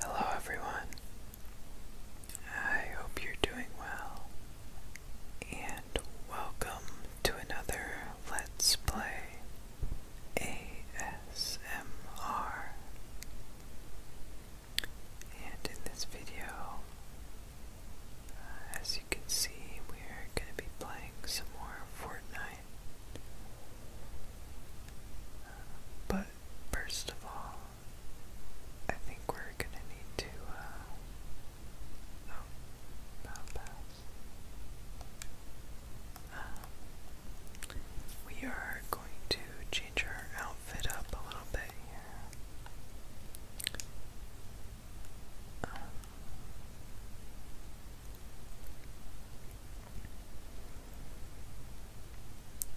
Hello, everyone. I hope you're doing well, and welcome to another Let's Play ASMR. And in this video, uh, as you can see, we're going to be playing some more Fortnite but first of all, I think we're gonna need to. Uh, oh, um, we are going to change our outfit up a little bit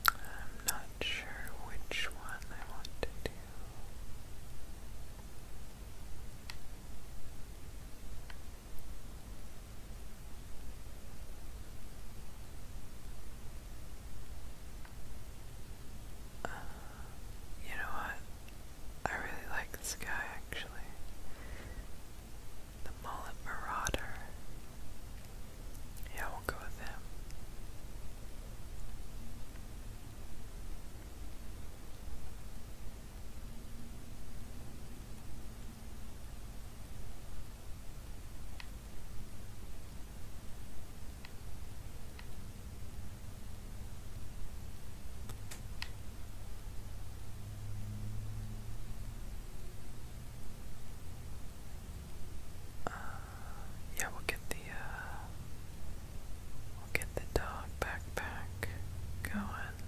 I'm not sure which one I want to do. Uh, you know what? I really like this guy actually. The Mullet Marauder. Yeah, we'll go with him. Uh, yeah, we'll get the uh, we'll get the dog backpack going.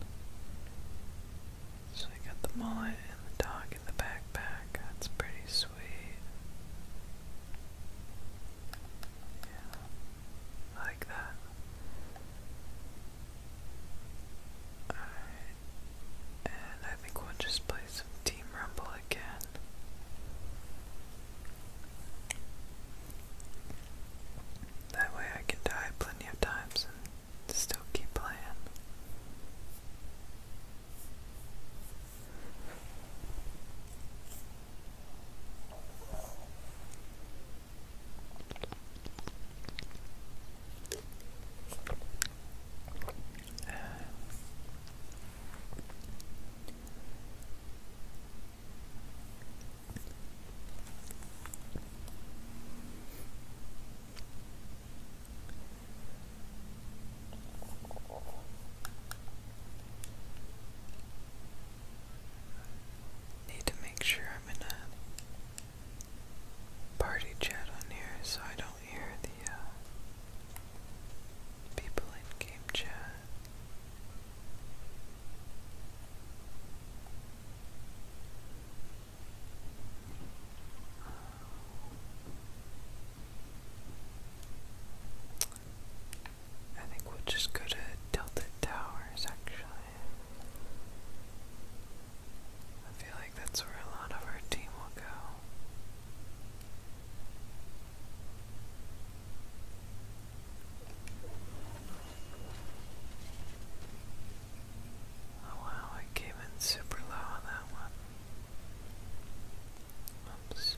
So we got the mullet and the dog in the backpack. That's pretty sweet. Yeah, like that. And I think we'll just play some Team Rumble again. That way I can die plenty of times and still keep playing. Uh, need to make sure I'm in a party chat on here so I don't hear the uh, people in game chat. I think we'll just go to Tilted Towers actually. I feel like that's where a lot of our team will go. Oh wow, I came in super low on that one. Oops.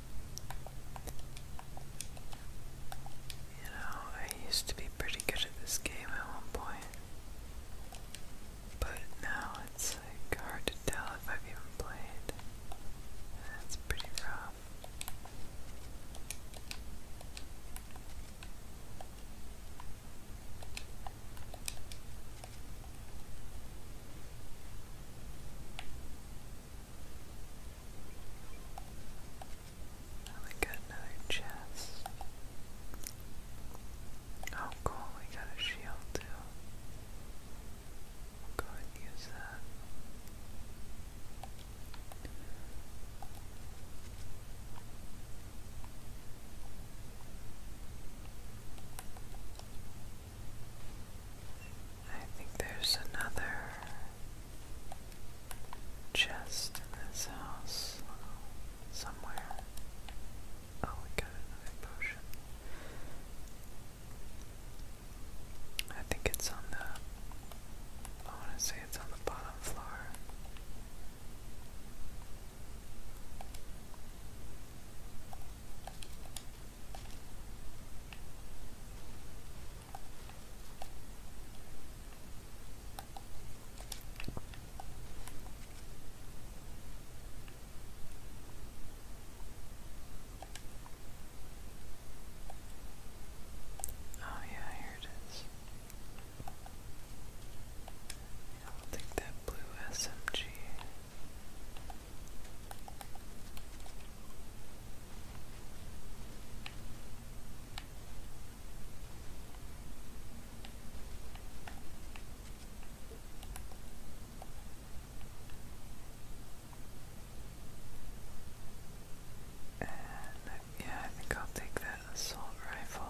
You know, I used to be pretty good at this game at one point, but now it's like hard to tell if I've even played. That's pretty rough. And we got another chest. Oh cool, we got a shield too. go and use that. I think there's another chest in this house somewhere. Oh, we got another potion. I think it's on the. I want to say it's on the bottom floor. Oh, yeah, here it is. I'll take that blue SMG yeah, I think I'll take that assault rifle.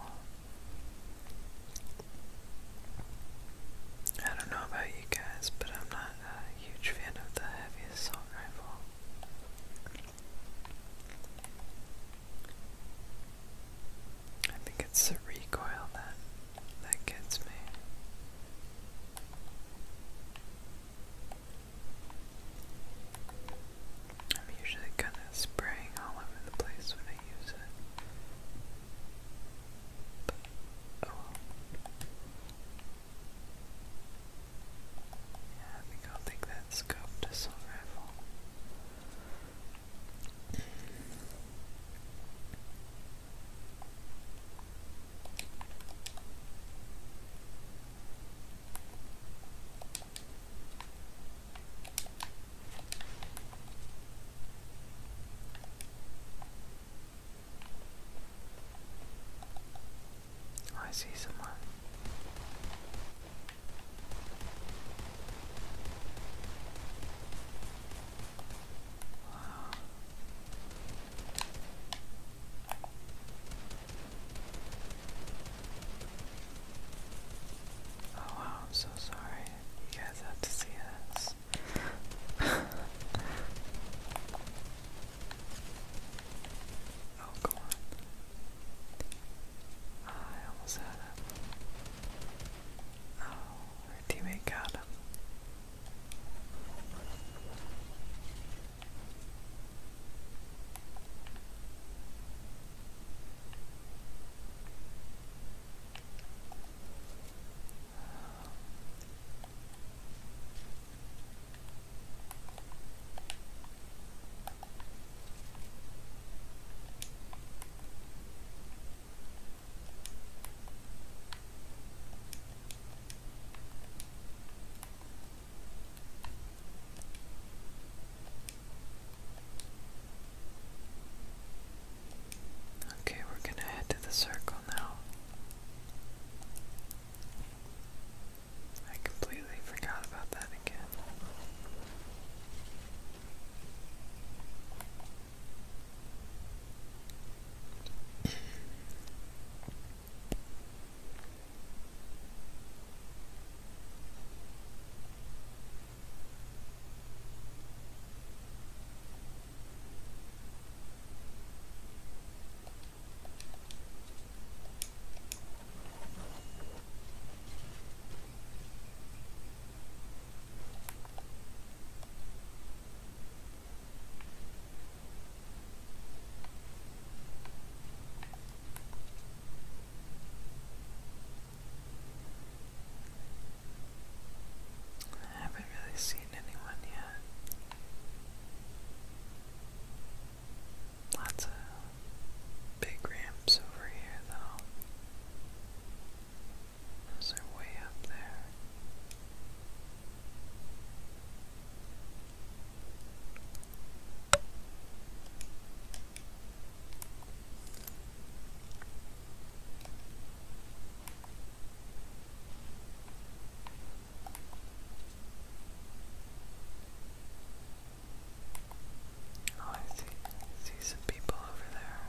I don't know about you guys, but I'm not uh, a huge fan of the heavy assault rifle. I think it's the recoil that that gets me. I'm usually kind of spraying all over the place when I use it. But, oh yeah, I think I'll take that scope pistol rifle. Oh, I see someone. Oh wow, I'm so sorry. You guys have to see this. Oh, come on. I almost had him. Oh, teammate got him. Okay, we're going to head to the circle now. I completely forgot about that again. I haven't really seen seen anyone yet. Lots of big ramps over here, though. Those are way up there. Oh, I see, see some people over there.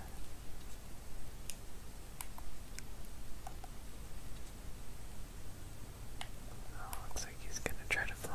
Oh, looks like he's gonna try to fly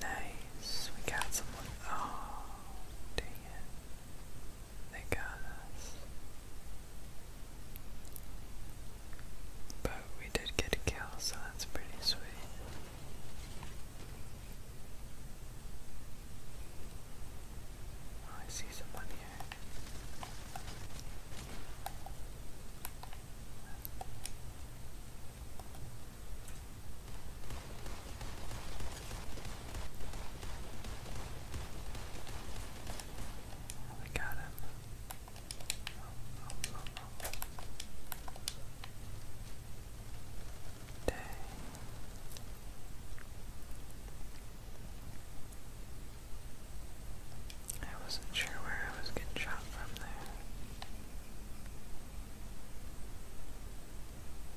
Nice, we got someone. Oh, dang They got us. But we did get a kill, so that's pretty sweet. Oh, I see someone here. Oh, we got him. Oh, I wasn't sure where I was getting shot from there.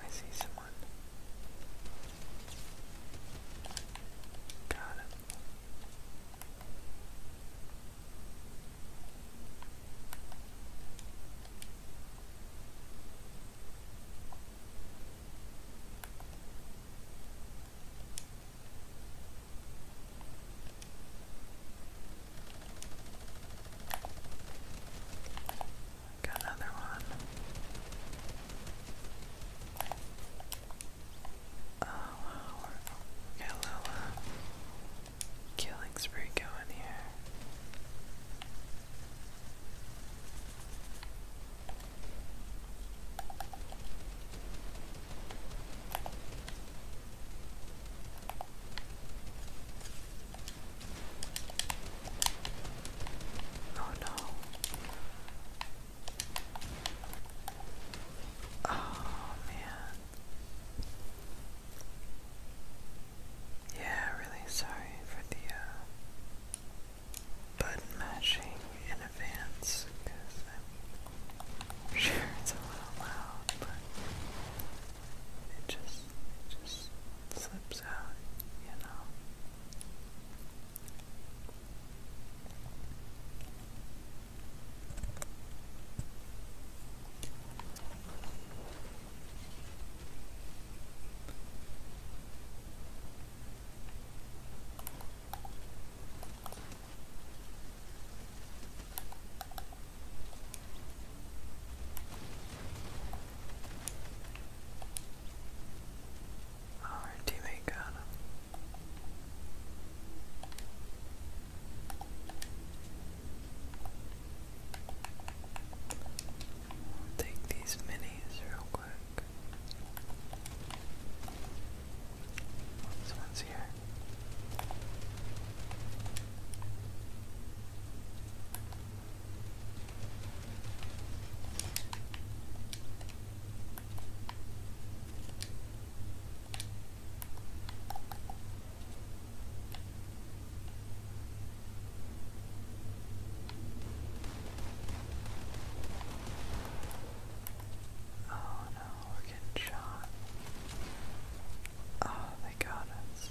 I see someone. Got him. Got another one. Oh wow, uh, killing spree going here. Oh no. Oh man. Yeah, really sorry for the uh, button mashing in advance because I'm sure it's a little loud, but it just just slips out, you know. Oh, our teammate got him. take these minis real quick. This one's here. Oh no, we're getting shot. Oh, they got us.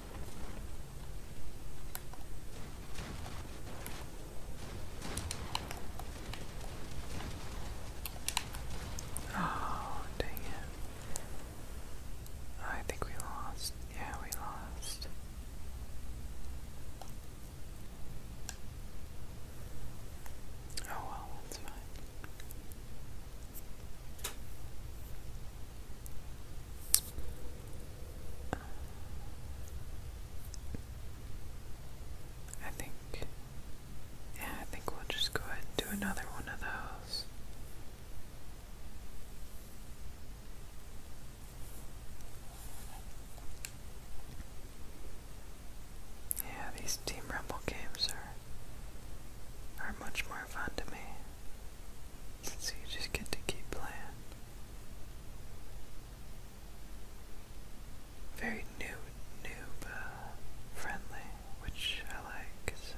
Oh, dang it. I think we lost. Yeah, we lost. Oh well, that's fine. I think, yeah, I think we'll just go ahead and do another one of those. Yeah, these Team Rumble games are are much more fun to me since you just get to keep playing very new noob uh, friendly, which I like so.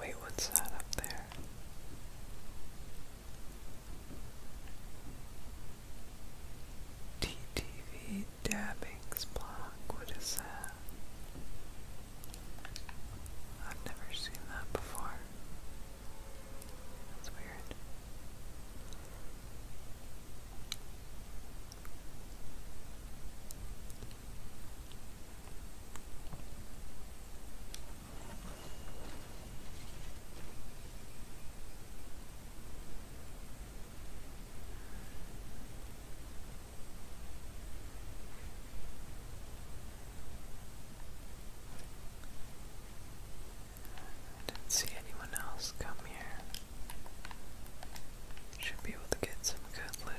Wait, what's that up there? TTV Dabbing's block, what is that? I've never seen that before. That's weird. I didn't see anyone else come here. Should be able to get some good loot.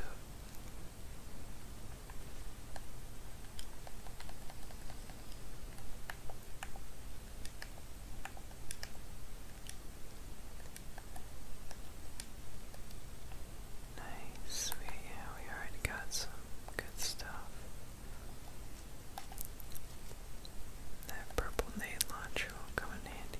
Nice, we, yeah, we already got some good stuff. That purple nade launcher will come in handy.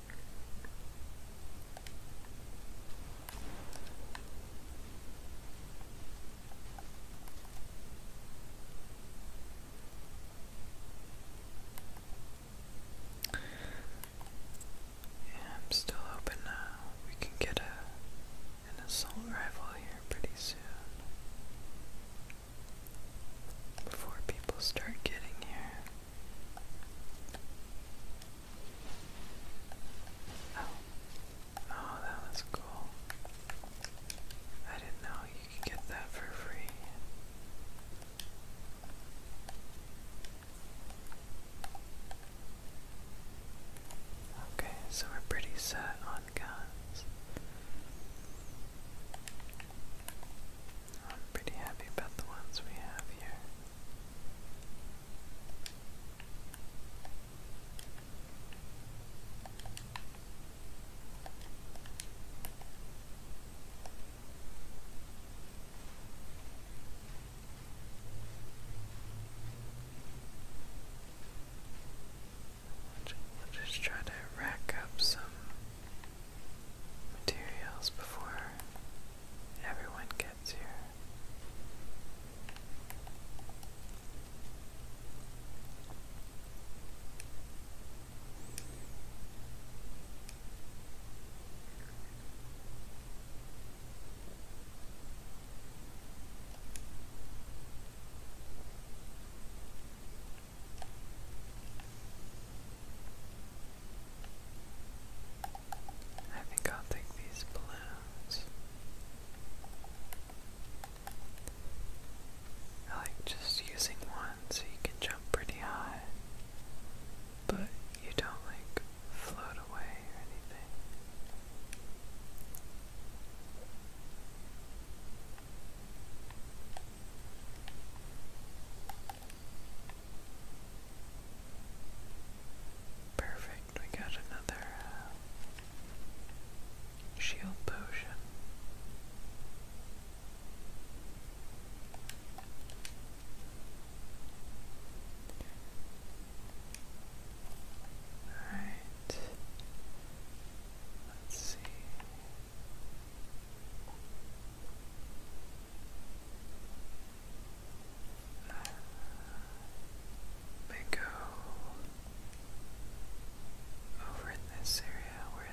Yeah, i still hoping uh, we can get a an assault rifle here pretty soon. Before people start getting here. Oh. Oh, that was cool. I didn't know you could get that for free. Okay, so we're pretty set on guns. I'm pretty happy about the ones we have here. We'll just try to rack up some materials before everyone gets here. I think I'll take these balloons. I like just using one so you can jump pretty high, but you don't like float away or anything. Perfect, we got another uh, shield potion. Alright, let's see. Let go over in this area where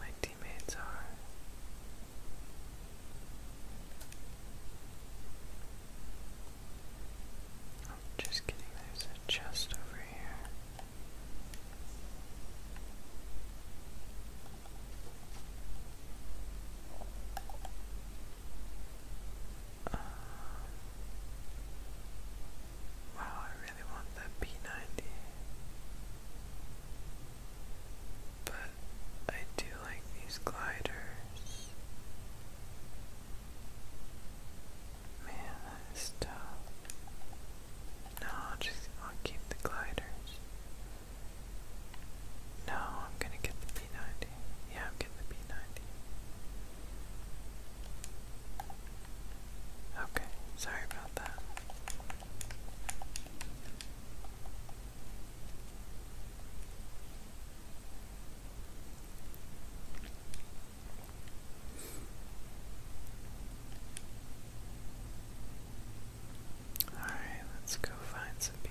my teammates are. I'm just kidding, there's a chest over here. Uh, wow, I really want that P90. But I do like these gliders. Man, that is tough. No, I'll just I'll keep the gliders. No, I'm gonna get the P90. Yeah, I'm getting the P90. Okay, sorry about that. Alright, let's go find some people.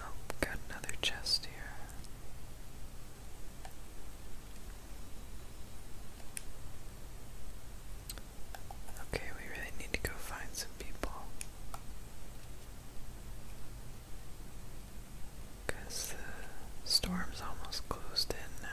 Oh, got another chest here. Okay, we really need to go find some people. Because the storm's almost closed in now.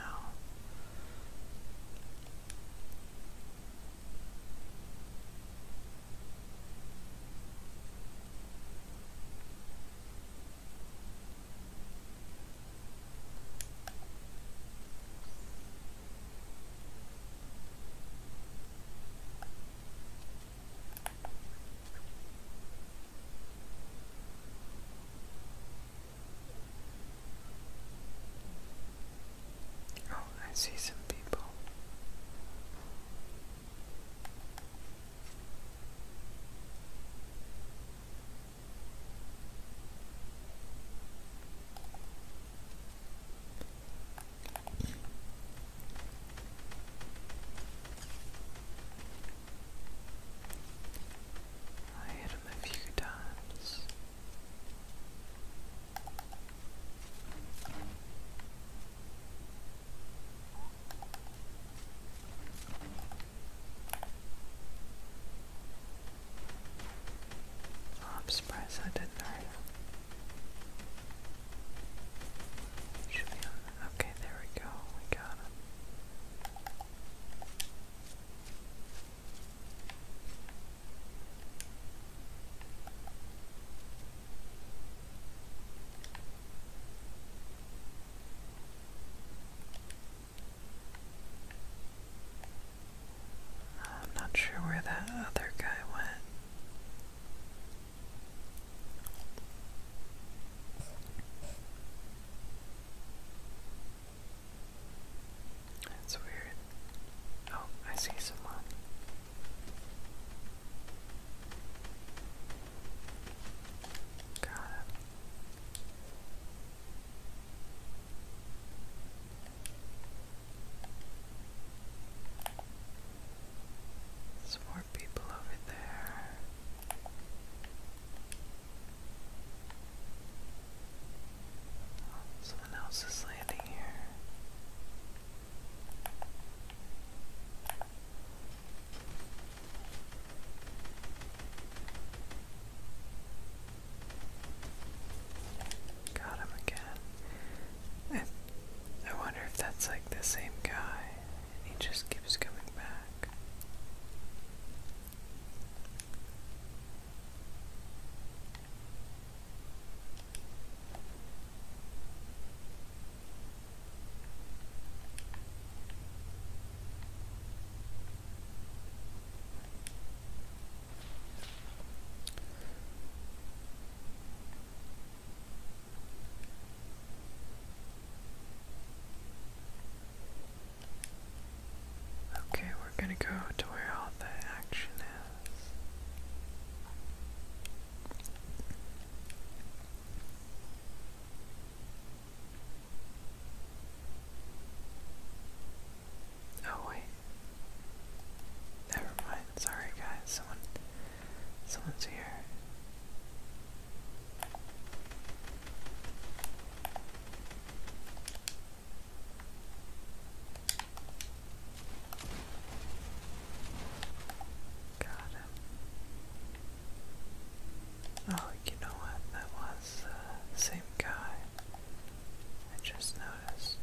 Oh, I see some people. I hit him a few times. Oh, I'm surprised I didn't hurt Okay, there we go. We got him. I'm not sure where that other guy went. That's weird. Oh, I see someone. Got it. There's people over there. Oh, someone else is landing here. Got him again. I wonder if that's like the same guy he just keeps coming back. Okay, we're going to go to where all the action is. Oh wait. Never mind. Sorry guys. Someone someone's here. Got him. Oh, you know what? That was uh, the same guy. I just noticed.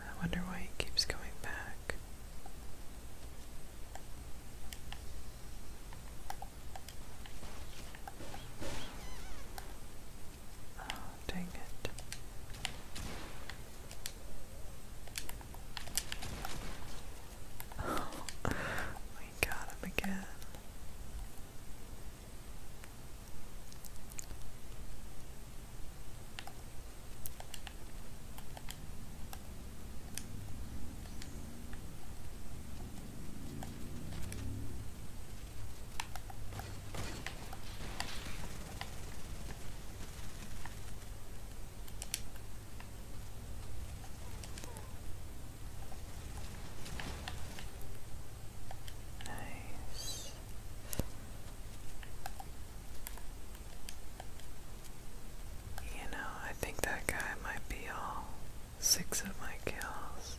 I wonder why he keeps going back. Oh, dang it we got him again. Nice. You know, I think that guy might be all six of my kills.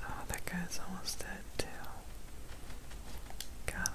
Oh, that guy's almost dead, too. Got him.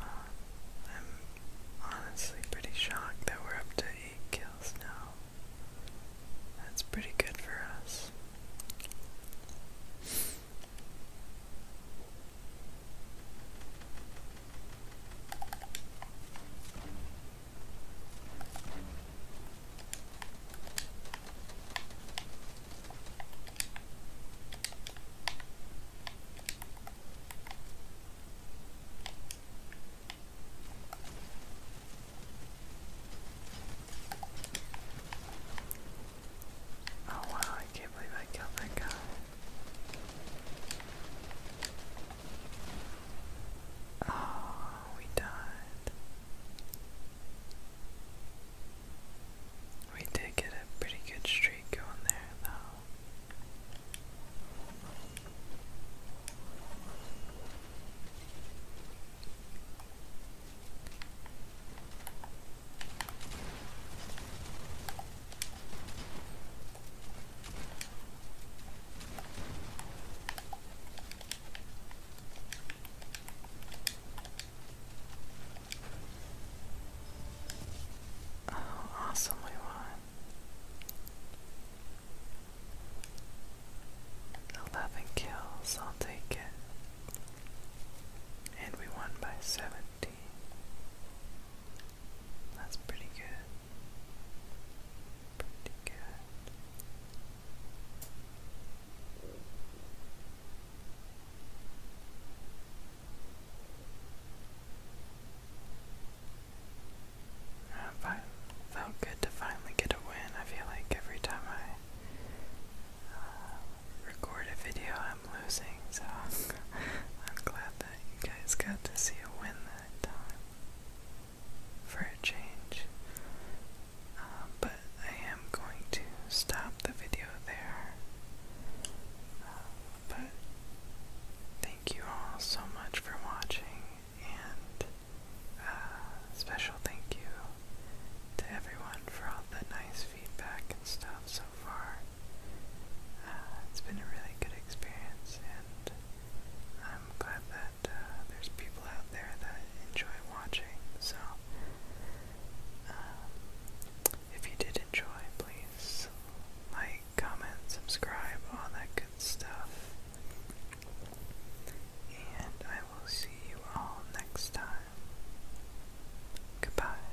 I'm honestly pretty shocked that we're up to 8 kills now. That's pretty good for us. Oh wow, I can't believe I killed that guy. Oh, we died. We did get a pretty good streak going there, though. Oh, awesome we won. Eleven kills, I'll take it. And we won by seventeen. That's pretty good. Pretty I felt good to finally get a win. I feel like every time I uh, record a video, I'm losing, so I'm glad that you guys got to see a win that time for a change. Um, but I am going to stop the video there. Um, but thank you all so much for watching, and uh, special thank you to everyone for all the nice feedback and stuff so far uh, it's been a really good experience, and I'm glad that uh, there's people out there that enjoy watching. So, um, if you did enjoy, please like, comment, subscribe, all that good stuff. And I will see you all next time. Goodbye.